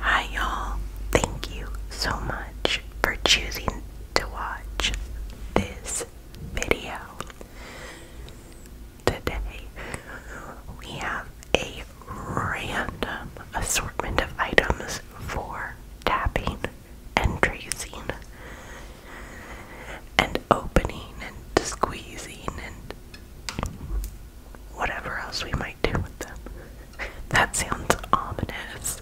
Hi, y'all. Thank you so much for choosing to watch this video. Today, we have a random assortment of items for tapping and tracing and opening and squeezing and whatever else we might do with them. that sounds ominous.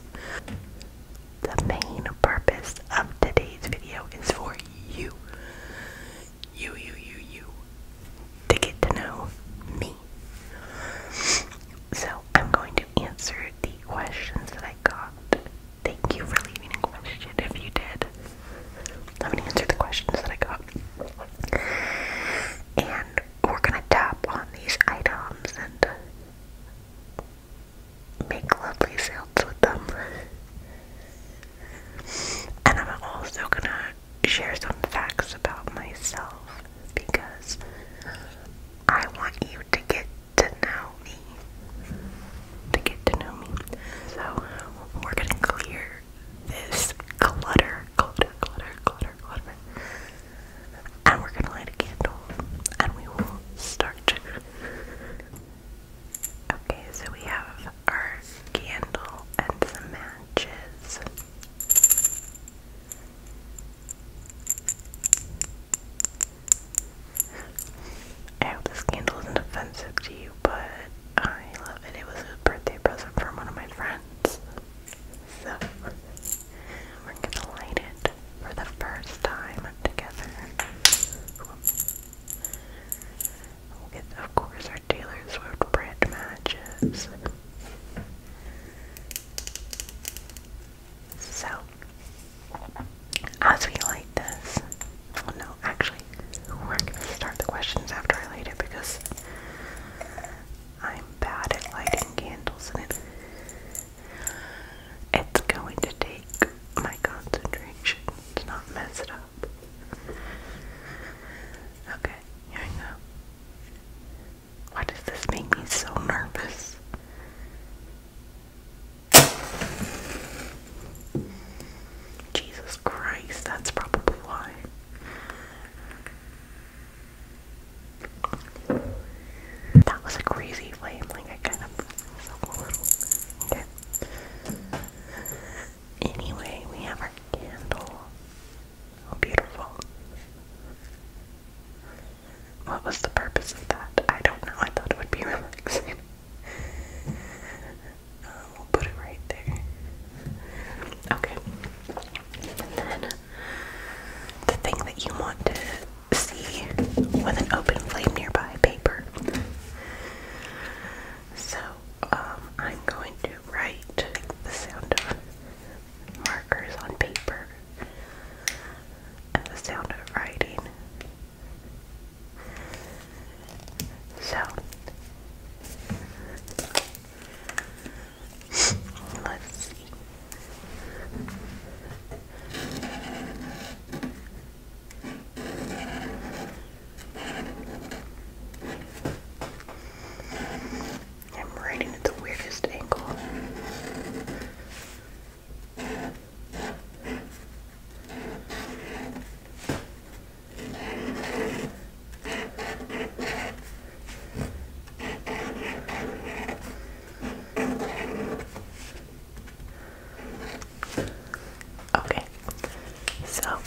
The main purpose of today's video is for you. You, you, you, you. To get to know me. So I'm going to answer the questions that I got. Thank you for leaving a question if you did. Let me answer the questions that I got. And we're gonna tap on these items and make lovely silts with them. And I'm also gonna share some facts about myself because I want you to get to know me. To get to know me. So we're gonna clear this clutter, clutter, clutter, clutter, clutter. And we're gonna light a candle and we will start. Okay, so we have our candle and some matches. I hope this candle isn't offensive to you, but I love it. It was a birthday present from one of my friends. So, we're gonna light it for the first time together. we of course, our Taylor Swift brand matches. So, as we light this, oh no, actually, we're gonna start the questions after I light it because I'm bad at lighting candles and it's going to take my concentration to not mess it up. Okay, here we go. Why does this make me so nervous? Jesus Christ, that's probably why. That was a crazy flame, like I kind of myself a little. Okay. Anyway, we have our candle. Oh, beautiful. What was the purpose of that? I don't know. I thought it would be relaxing. Um, we'll put it right there. Okay. And then the thing that you want to see with an open flame nearby paper. So um, I'm going to write the sound of markers on paper and the sound of writing. So Let's see. I'm writing at the weirdest angle. Okay, so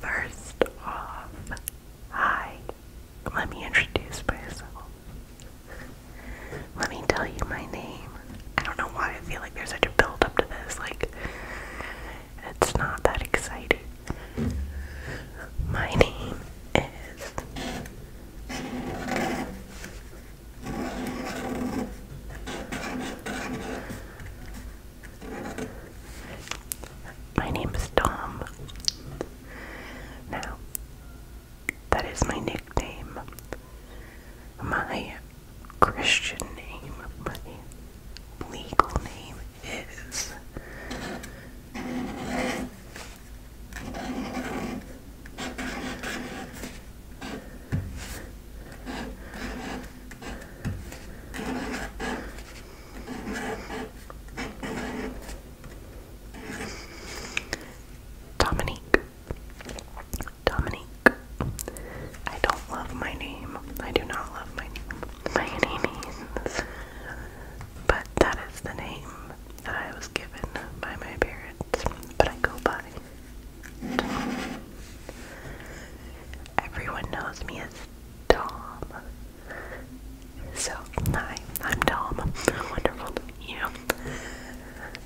first off, hi, let me introduce myself. Let me tell you my name. I don't know why I feel like there's such a build up to this. Like, it's not that exciting. My name is. My name is Tom. Now, that is my nickname. My Christian name, my legal name is. Dominique. Dominique. I don't love my name. I do not love my name by any means. But that is the name that I was given by my parents, but I go by. Everyone knows me as Tom. So, hi, I'm Tom. Wonderful you.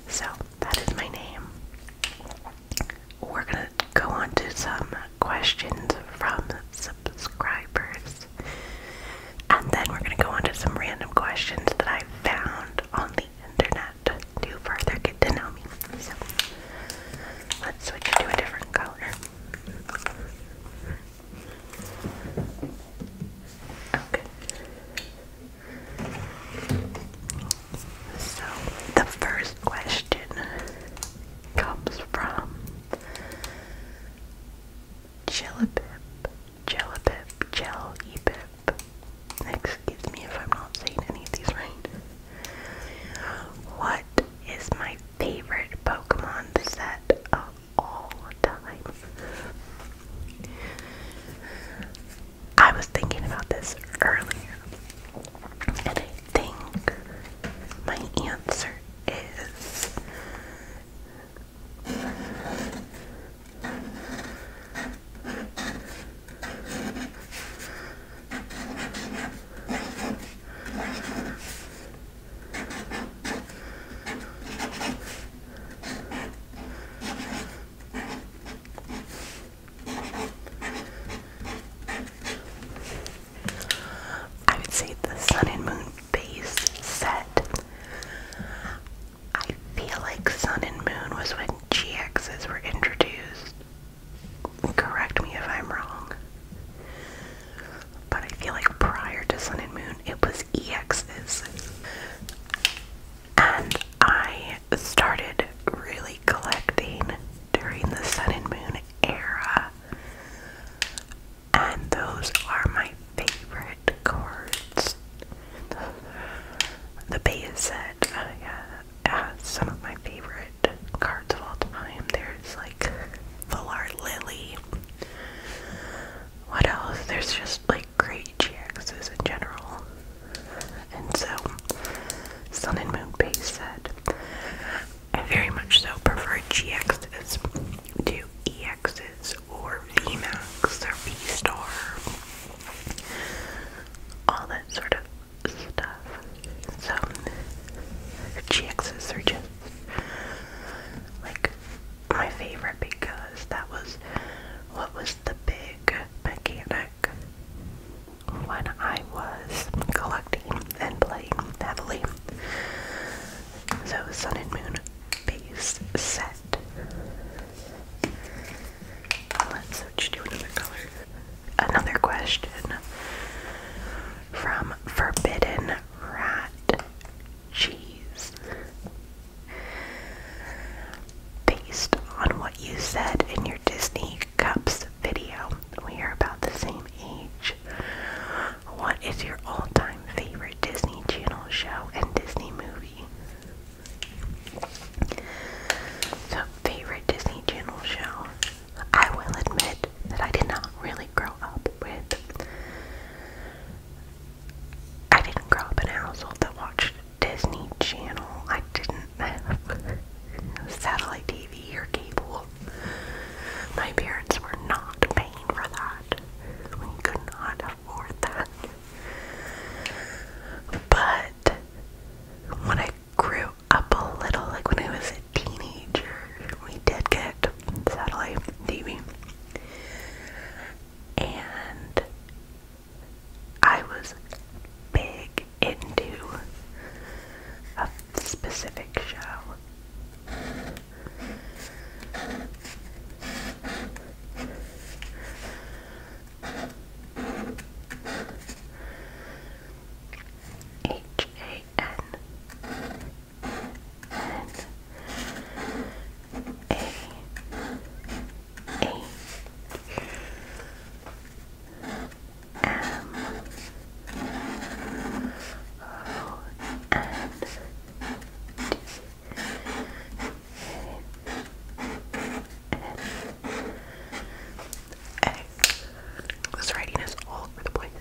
So, that is my name. We're gonna go on to some questions from subscribers. And then we're going to go on to some random questions that I found on the internet to further get to know me. So let's switch to a different color. Okay. So the first question comes from. Jellabib, Jellabib, Jellybib. Excuse me if I'm not saying any of these right. What is my favorite Pokemon set of all time? I was thinking about this earlier. And I think my answer is I would say the sun and moon base set. I feel like sun and moon was when GXs were introduced. Correct me if I'm wrong. But I feel like prior to sun and moon, it was EXs. And I started really collecting during the sun and moon era. And those are my favorite cards. The base set, uh, some of my favorite cards of all time. There's like the Valar Lily. What else? There's just like great GXs in general and so Sun and Moon Base said, I very much so prefer GXs to EXs or VMAX or V-Star, all that sort of stuff. So GXs are just like my favorite because that was what was the big mechanic when I was collecting and playing heavily. So Sun and Moon base set. Let's switch to another color. Another question from Forbidden Rat Cheese. Based on what you said in your Disney Cups video. We are about the same age. What is your all time favorite Disney Channel show and Disney movie? So, favorite Disney Channel show. I will admit that I did not really grow up with. I didn't grow up in a household that watched Disney Channel. I didn't satellite TV or cable. My parents were not paying for that. We could not afford that. But when I grew up a little, like when I was a teenager, we did get satellite TV. And I was big into a specific show. H A N N A A M O N D. This writing is all over the place.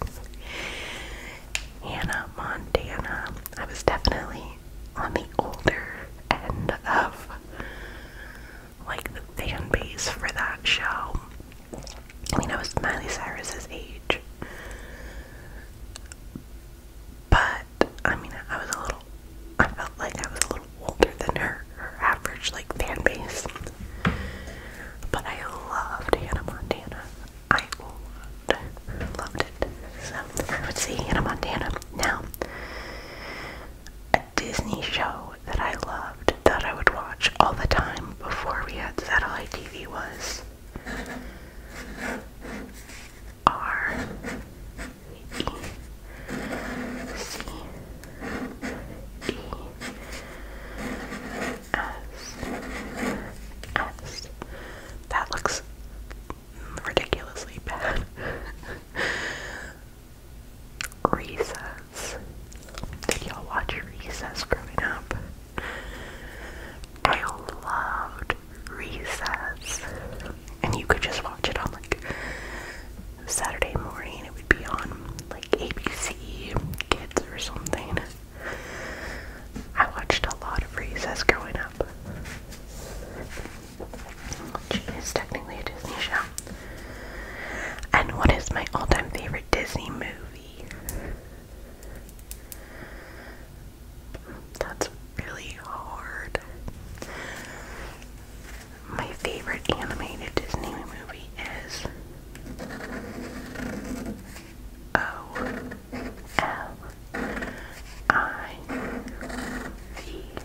Hannah Montana. I was definitely on the older end of like the fan base for that show. I mean, I was Miley Cyrus's age, but I mean, I was a little. I felt like I was a little older than her, her average like fan base. But I loved Hannah Montana. I loved, loved it. So I would say Hannah Montana. Now, a Disney show that I loved that I would watch all the time before we had satellite TV was R E C E S S. That looks ridiculously bad. Recess. Did y'all watch Recess growing up? I loved Recess. And you could just watch it on like Saturday morning. It would be on like ABC Kids or something. I watched a lot of Recess growing up which is technically a Disney show. And what is my all time favorite Disney movie? That's really hard. My favorite animated Disney movie is O L I V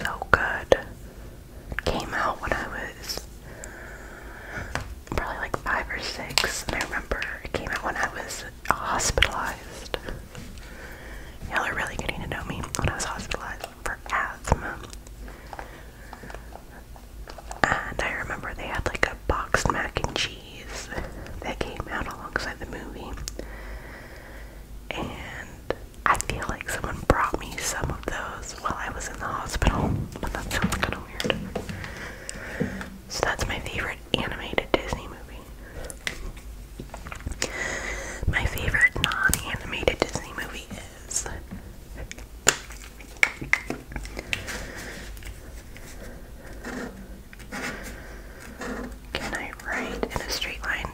so good. Came out when I was probably like five or six, I remember it came out when I was hospitalized. Y'all are really getting to know me when I was hospitalized for asthma. And I remember they had like a boxed mac and cheese that came out alongside the movie. And I feel like someone brought me some of those while I was in the hospital, but that sounds kind of weird. So that's my favorite animated Disney movie. My favorite non-animated Disney movie is Can I write in a straight line?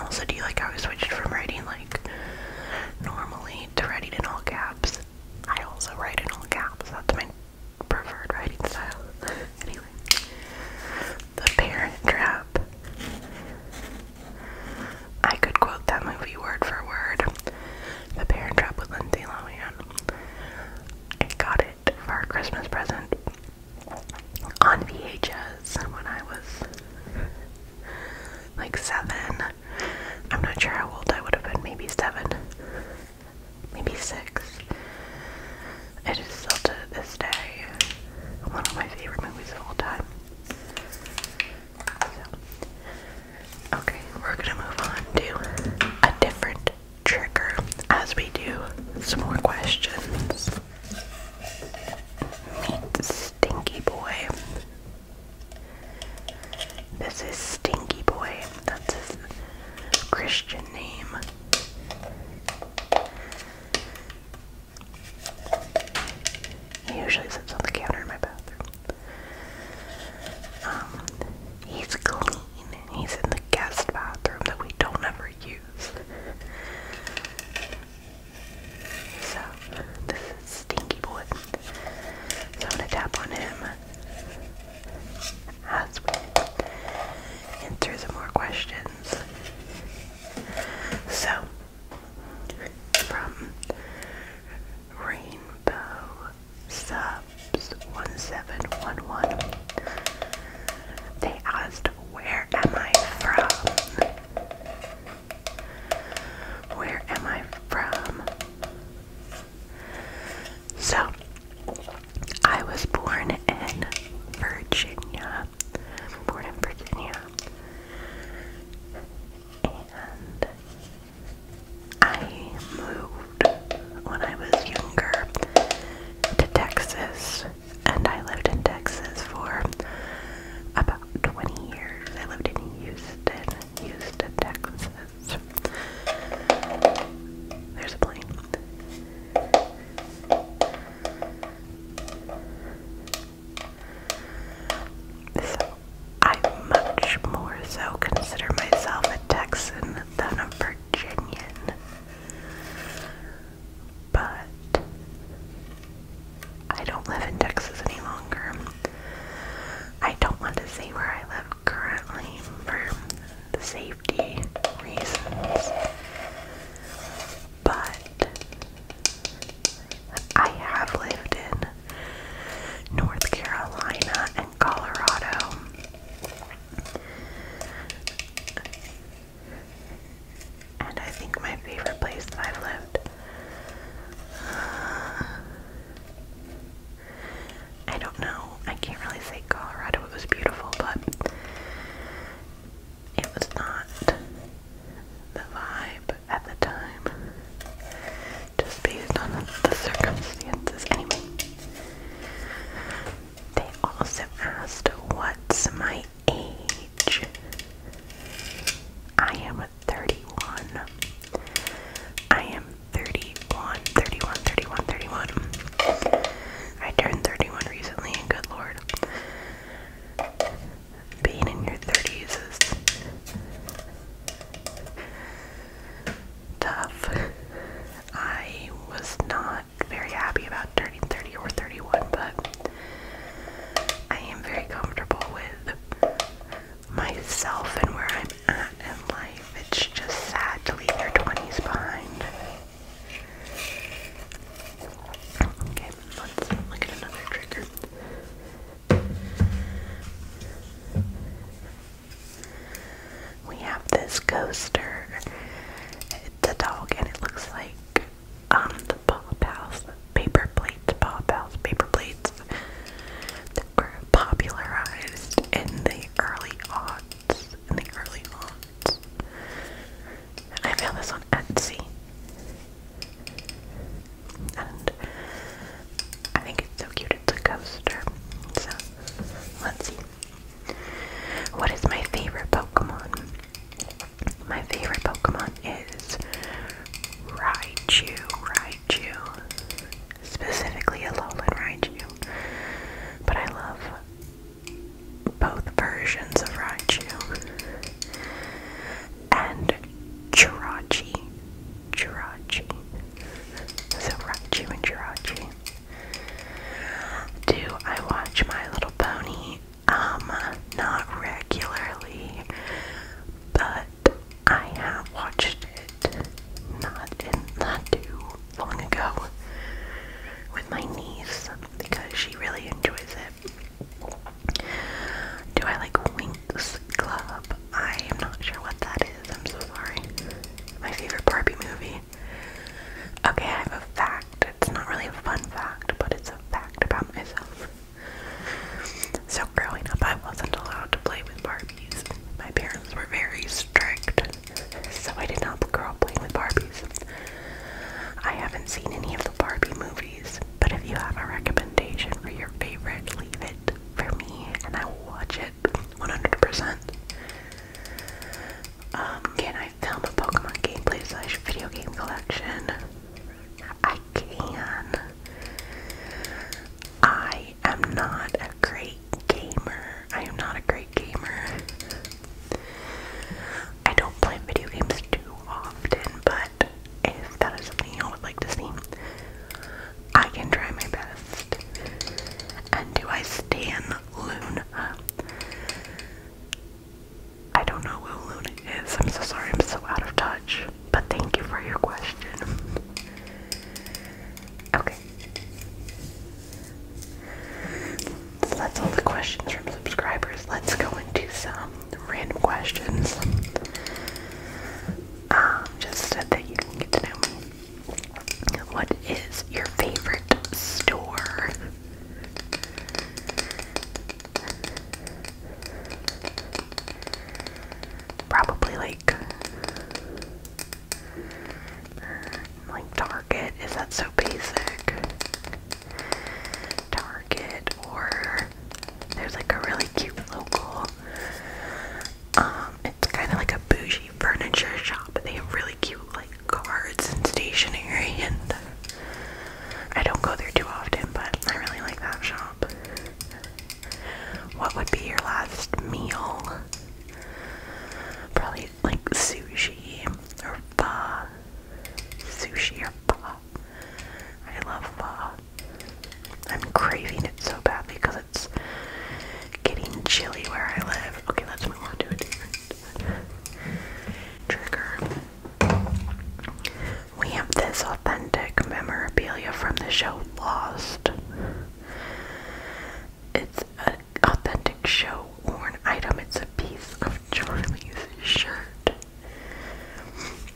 also, do you like how I switched from writing like normally to writing in all caps? I also write in all caps. That's my preferred writing style. anyway, The Parent Trap. I could quote that movie word for word. The Parent Trap with Lindsay Lohan. I got it for a Christmas present on VHS when I was like seven. I'm not sure how old I would have been, maybe seven, maybe six. It is still to this day one of my favorite movies of all time. okay, we're gonna move on to a different trigger as we do some more questions. Meet Stinky Boy. This is Stinky Boy. That's his Christian name. He usually sits on the counter in my bathroom. Um, he's clean. He's in the guest bathroom that we don't ever use. So, this is Stinky Boy. So, I'm going to tap on him as answer some more questions. So, from Rainbow Subs 1711, they asked, Where am I from? Where am I from? So, I was born in Virginia. Born in Virginia. And I moved when I was younger to Texas. And I lived in Texas for about 20 years. I lived in Houston, Houston, Texas. There's a plane. So, I much more so consider myself a Texan than a Virginian but I don't live in Texas any longer. I don't want to say where I live currently for safety reasons, but I have lived in North Carolina and Colorado and I think my favorite place that I've lived. I don't know. I can't really say Colorado. It was beautiful, but it was not the vibe at the time. Just based on the circumstances. Anyway, they also asked what's my age. I am 31. I am 31, 31, 31, 31. I turned 31 recently, and good lord. Being in your 30s is tough. I was not very happy about turning 30 or 31, but I am very comfortable with myself and where I'm at in life. It's just sad to leave your 20s behind. Okay, let's look at another trigger. We have this coaster. It's a dog and it looks like um, the Pop House paper plates, Pop House paper plates that were popularized in the early aughts. In the early aughts. And I found this on Etsy. And I think it's so cute, it's a coaster. So, let's see. What is my favorite Pokemon? My favorite Pokemon is Raichu, Raichu. Specifically a Alolan Raichu. But I love both versions of Raichu. And Jirachi. Jirachi. So Raichu and Jirachi. Do I watch My Little Pony? Um, not regularly, but I have watched it not not too long ago with my niece because she really enjoys it. Do I like Winx Club? I am not sure what that is. I'm so sorry. My favorite Barbie movie. Okay, I have a fact. It's not really a fun fact, but it's a fact about myself. So, growing up, I wasn't allowed to play with Barbies. My parents were very strict, so I did not grow up playing with Barbies. I haven't seen any of the Barbie movies, but if you have a recommendation for your favorite, leave it for me and I will watch it 100%. Um, can I I film a Pokemon gameplay slash video game collection? I can. I am not a great gamer. I am not a great gamer. I don't play video games too often, but if that is something y'all would like to see, I can try my best. And do I stand Luna? I don't know who Luna is. I'm so sorry, I'm so out of touch. But thank you for your question. Okay. So that's all the questions from subscribers. Let's go into some random questions. Um, just so that you can get to know me. What is your favorite store? Probably like like Target. Is that so basic? Target or there's like a really cute local um it's kind of like a bougie furniture shop, they have really cute like cards and stationery and I don't go there too often, but I really like that shop. What would be your last meal? Probably like sushi or pa. Sushi or pa. I love pa. I'm craving it so badly because it's getting chilly where I live. Okay, let's move on to a different Trigger. We have this authentic memorabilia from the show Lost. It's an authentic show worn item. It's a piece of Charlie's shirt.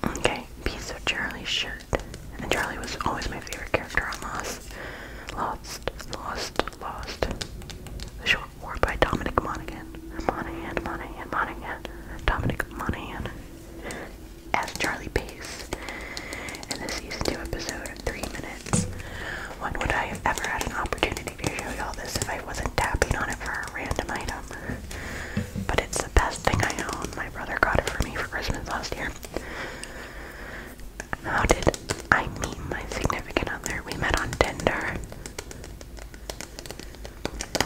Okay, piece of Charlie's shirt. And Charlie was always my favorite character on Lost. Lost, Lost, Lost. The show or by Dominic Monaghan. Monaghan, Monaghan, Monaghan, Dominic Monaghan as Charlie Pace. In the season two episode of three minutes. When would I have ever had an opportunity to show y'all this if I wasn't tapping on it for a random item? But it's the best thing I own. My brother got it for me for Christmas last year. How did I meet my significant other? We met on Tinder.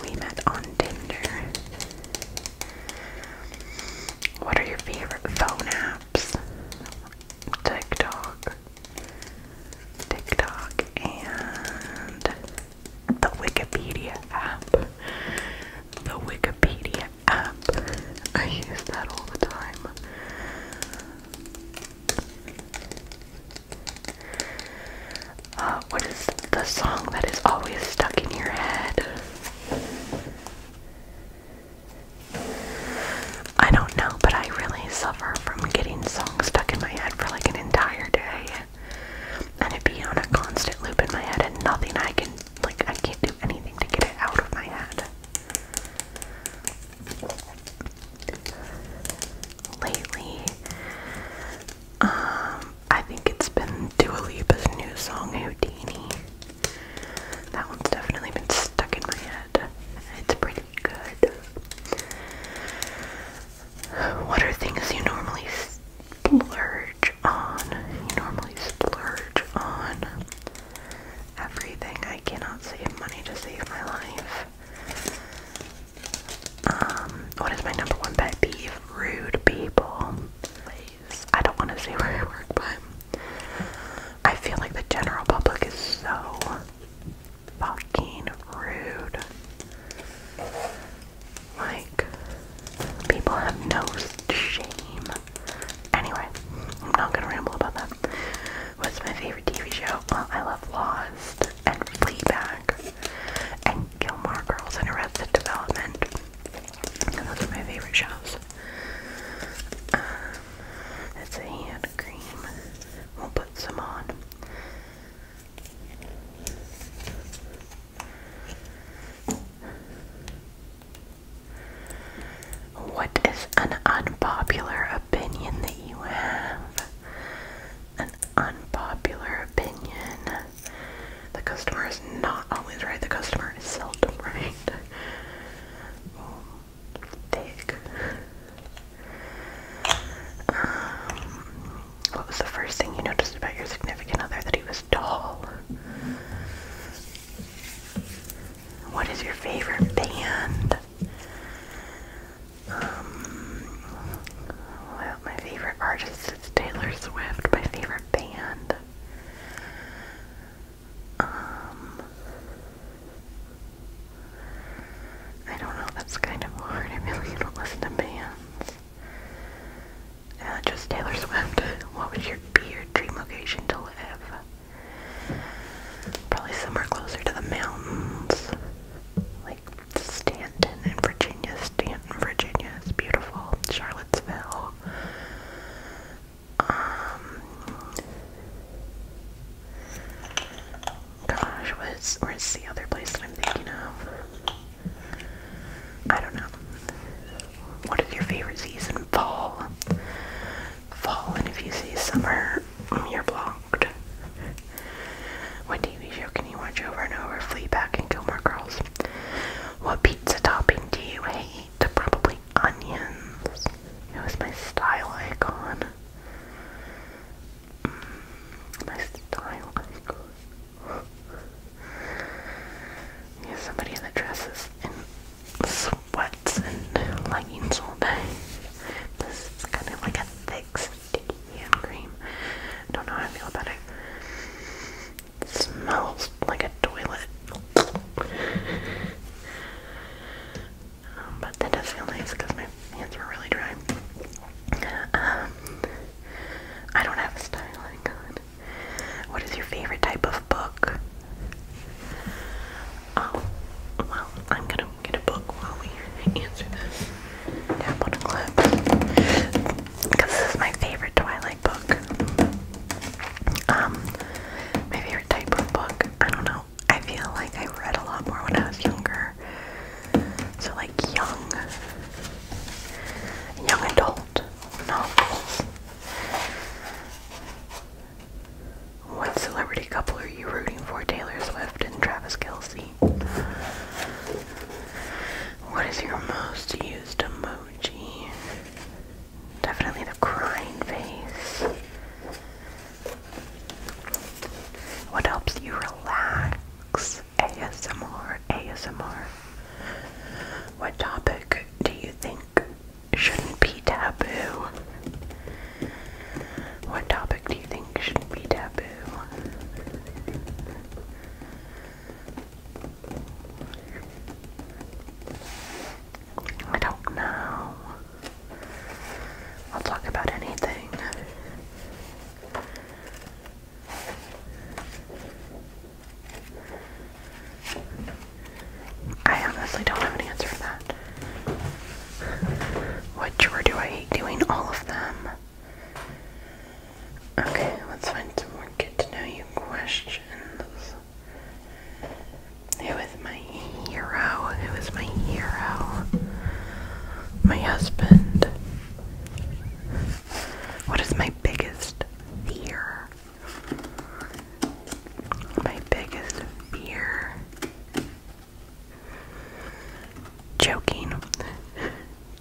We met on Tinder. What are your favorite phone apps? TikTok. TikTok and the Wikipedia app. The Wikipedia app. I use that all the time. Uh, what is the song that is always stuck in your head? I don't know, but I really suffer from getting songs stuck in my head for like an entire day. And it be on a constant loop in my head and nothing I can, like, I can't do anything to get it out of my head lately. Um, I think it's been Dua Lipa's new song, Houdini. That one's definitely been stuck in my head. It's pretty good. What are things you normally splurge on? You normally splurge on everything. I cannot save money to save my life. Um, what is my number one pet peeve? Rude people. Please. I don't want to say where I work, but I feel like the general public is so fucking rude. Like, people have no shame. Anyway, I'm not gonna ramble about that. What's my favorite TV show? I love Lost and Fleabag and Gilmore Girls and Arrested Development. those are my favorite shows. it's a hand cream. We'll put some on. What is an unpopular opinion that you have, an unpopular opinion. The customer is not always right, the customer is seldom right. Um, what was the first thing you noticed about your significant other? That he was tall. What is your favorite band? well, um, my favorite artist is Taylor Swift. My favorite band. Um, I don't know. That's kind of hard. I really don't listen to bands. Uh, just Taylor Swift. What would your be your dream location to live? Probably somewhere closer to the mountains. Stanton in Virginia, Stanton, Virginia is beautiful, Charlottesville. Um, gosh, where's, the other place that I'm thinking of? I don't know. What is your favorite season? Fall. Fall, and if you say summer, you're blocked. What TV show can you watch over and over? back and kill more Girls. What pizza topping do you hate? Probably onions. It was my style icon. Mm, my style icon. Yeah, somebody that dresses in sweats and leggings all day. This is kind of like a thick hand cream. I do I feel about smells like a toilet. Um, but that does feel nice because my hands were really dry. Um, I don't have a style icon. What is your favorite type of book? Oh, well, I'm gonna get a book while we answer this. Tap on a clip. Because this is my favorite Twilight book. Um, my favorite type of book. I don't know. I feel like I read a lot more when I was younger. So like young, young adult novels. What celebrity couple are you rooting for? Taylor Swift and Travis Kelsey. What is your most used emoji? Definitely the crying face. What helps you relax? ASMR, ASMR. What topic do you think shouldn't be taboo? What topic do you think should be taboo? I don't know. I'll talk about anything. I honestly don't have an answer for that. What chore do I hate doing? All of them. Okay, let's find some more get to know you questions. Who is my hero? Who is my hero? My husband. What is my biggest fear? My biggest fear Joking.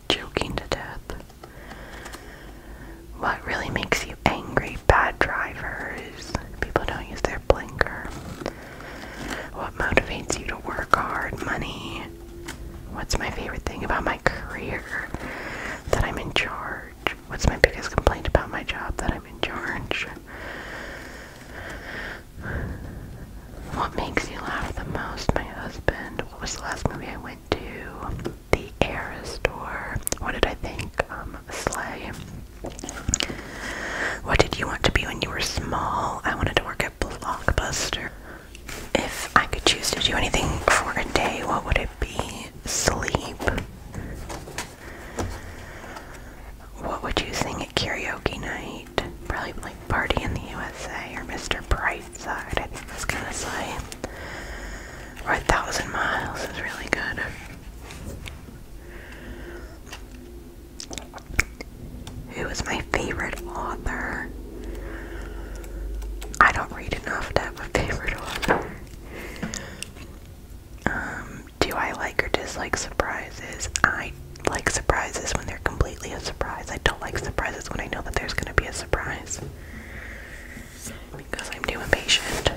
Joking to death. What really makes you angry? Bad drivers. People don't use their blinker. What motivates you to work hard? Money. What's my favorite thing about my career? That I'm in charge. What's my biggest complaint about my job? That I'm in charge. What makes you laugh the most? My husband. What was the last movie I went to? The Air Store. What did I think? Um, Slay. What did you want to be when you were small? I wanted to work at Blockbuster. If I could choose to do anything for a day, what would it be? Sleep. What would you sing karaoke night. Probably like Party in the USA or Mr. Brightside, I think that's gonna say. Or a thousand miles is really good. Who is my favorite author? I don't read enough to have a favorite author. Um, do I like or dislike surprises? I like surprises when they're completely a surprise. I don't like surprises when I know that there's going to be a surprise. Because I'm too impatient.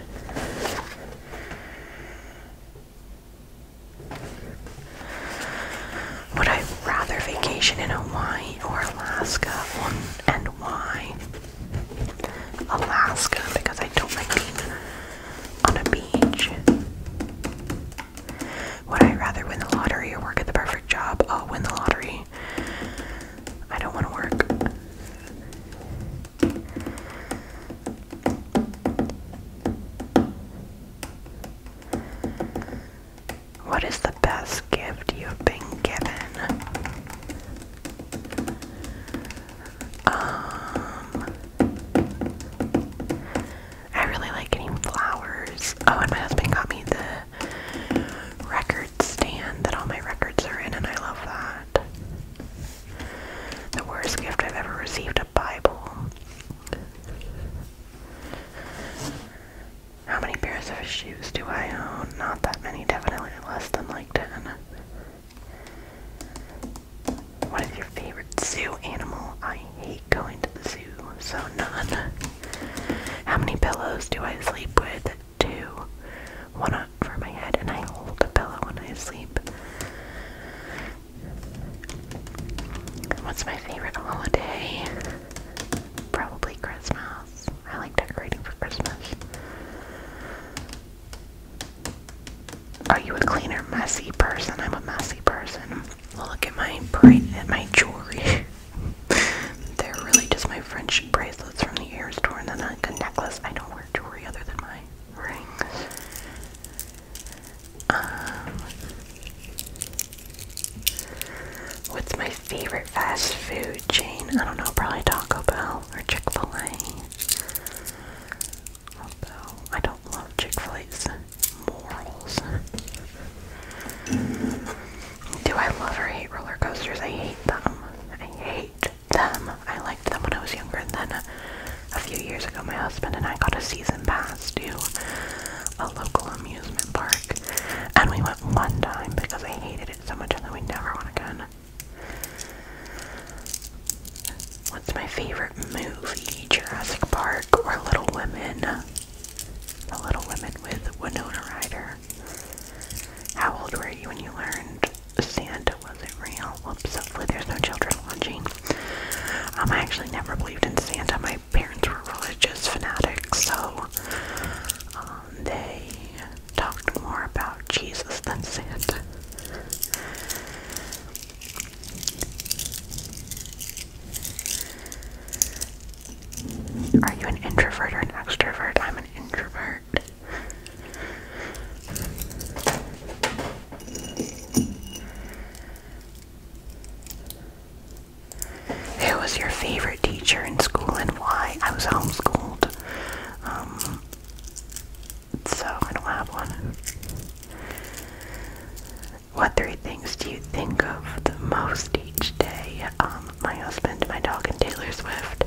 Would I rather vacation in Hawaii or Alaska? and why? Alaska because I don't like being on a beach. Would I rather win the lottery or work at the perfect job? I'll win the lottery. I don't want to work. What is the best gift you have been given? Um, I really like getting flowers. Oh, and my husband got me the record stand that all my records are in, and I love that. The worst gift I've ever received a Bible. How many pairs of shoes do I own? Not that many, definitely less than like 10. What is your favorite zoo animal? I hate going to the zoo, so none. How many pillows do I sleep with? Two. One up for my head, and I hold a pillow when I sleep. What's my favorite holiday? Probably Christmas. I like decorating for Christmas. Are you a cleaner, messy person? I'm a messy person. Look at my bright at my jewelry. They're really just my French bracelets from the ear store and then like a necklace. I don't wear jewelry other than my rings. Um, what's my favorite fast food chain? I don't know, probably Taco Bell or Chick-fil-A. Although I don't love Chick-fil-A's morals. Do I love or hate roller coasters? I hate them. I hate them. I liked them when I was younger, and then a few years ago, my husband and I got a season pass to a local amusement park, and we went one time because I hated it so much, and then we never went again. What's my favorite movie? Jurassic Park or Little Women? The Little Women with Winona Ryder. How old were you when you learned Santa wasn't real? Whoops, hopefully there's no children watching. Um, I actually never believed in Santa. My parents were religious fanatics, so um, they talked more about Jesus than Santa. Are you an introvert or an extrovert? I'm an introvert. Who was your favorite teacher in school and why? I was homeschooled. Um, so I don't have one. What three things do you think of the most each day? Um, my husband, my dog, and Taylor Swift.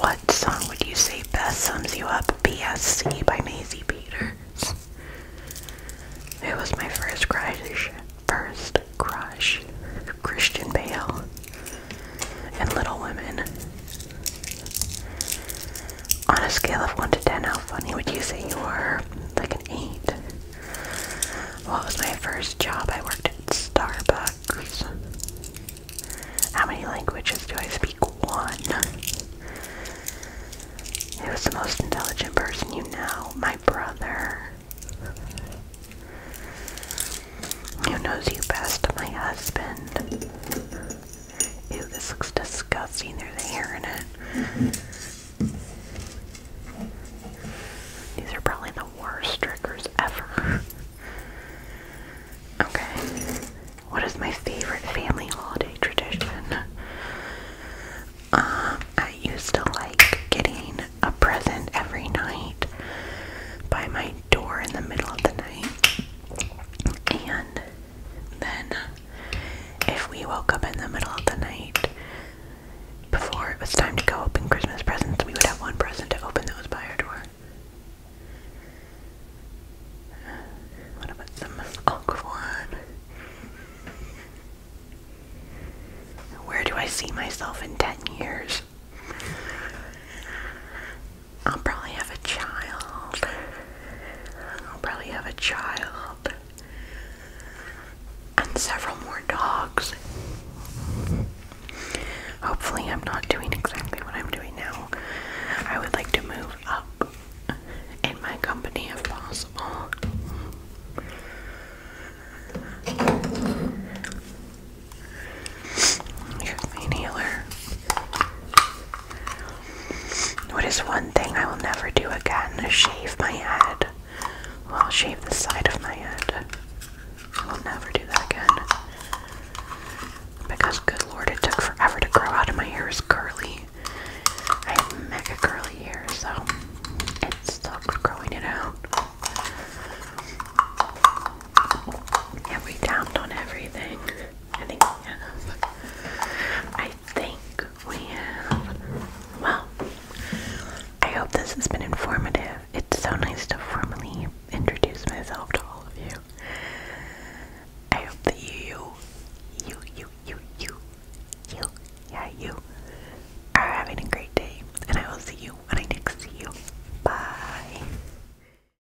What song would you say best sums you up? BSC by Maisie Peters. It was my first crush, first crush, Christian Bale, and Little Women. On a scale of 1 to 10, how funny would you say you are? Like an 8. What was my first job? I worked at Starbucks. How many languages do I speak? One. He was the most intelligent person you know? My brother. Who knows you best? My husband. Ew, this looks disgusting. There's hair in it. These are probably the worst triggers ever. Okay. What is my favorite family holiday tradition? Um, I used to like getting a present every night by my door in the middle of the night. And then, if we woke up in the middle of the night before it was time to go open Christmas presents, we would have one present to open that was by our door. What about some awkward Where do I see myself in 10 years? I'll probably have a child. I'll probably have a child. And several more dogs. Hopefully, I'm not doing exactly what I'm doing now. I would like to move up in my company if possible. Here's my inhaler. What is one thing I will never do again? Shave my head. Well, I'll shave the side of my head. I will never do that again. Because, good lord, it took forever to grow out, and my hair is curly. I have mega curly hair, so it's still growing it out. Yeah, we downed on everything. I think we have. I think we have. Well, I hope this has been informative. It's so nice to formally introduce myself to all of you. I hope that you, you, you, you, you, you, yeah, you, are having a great day. And I will see you when I next see you. Bye.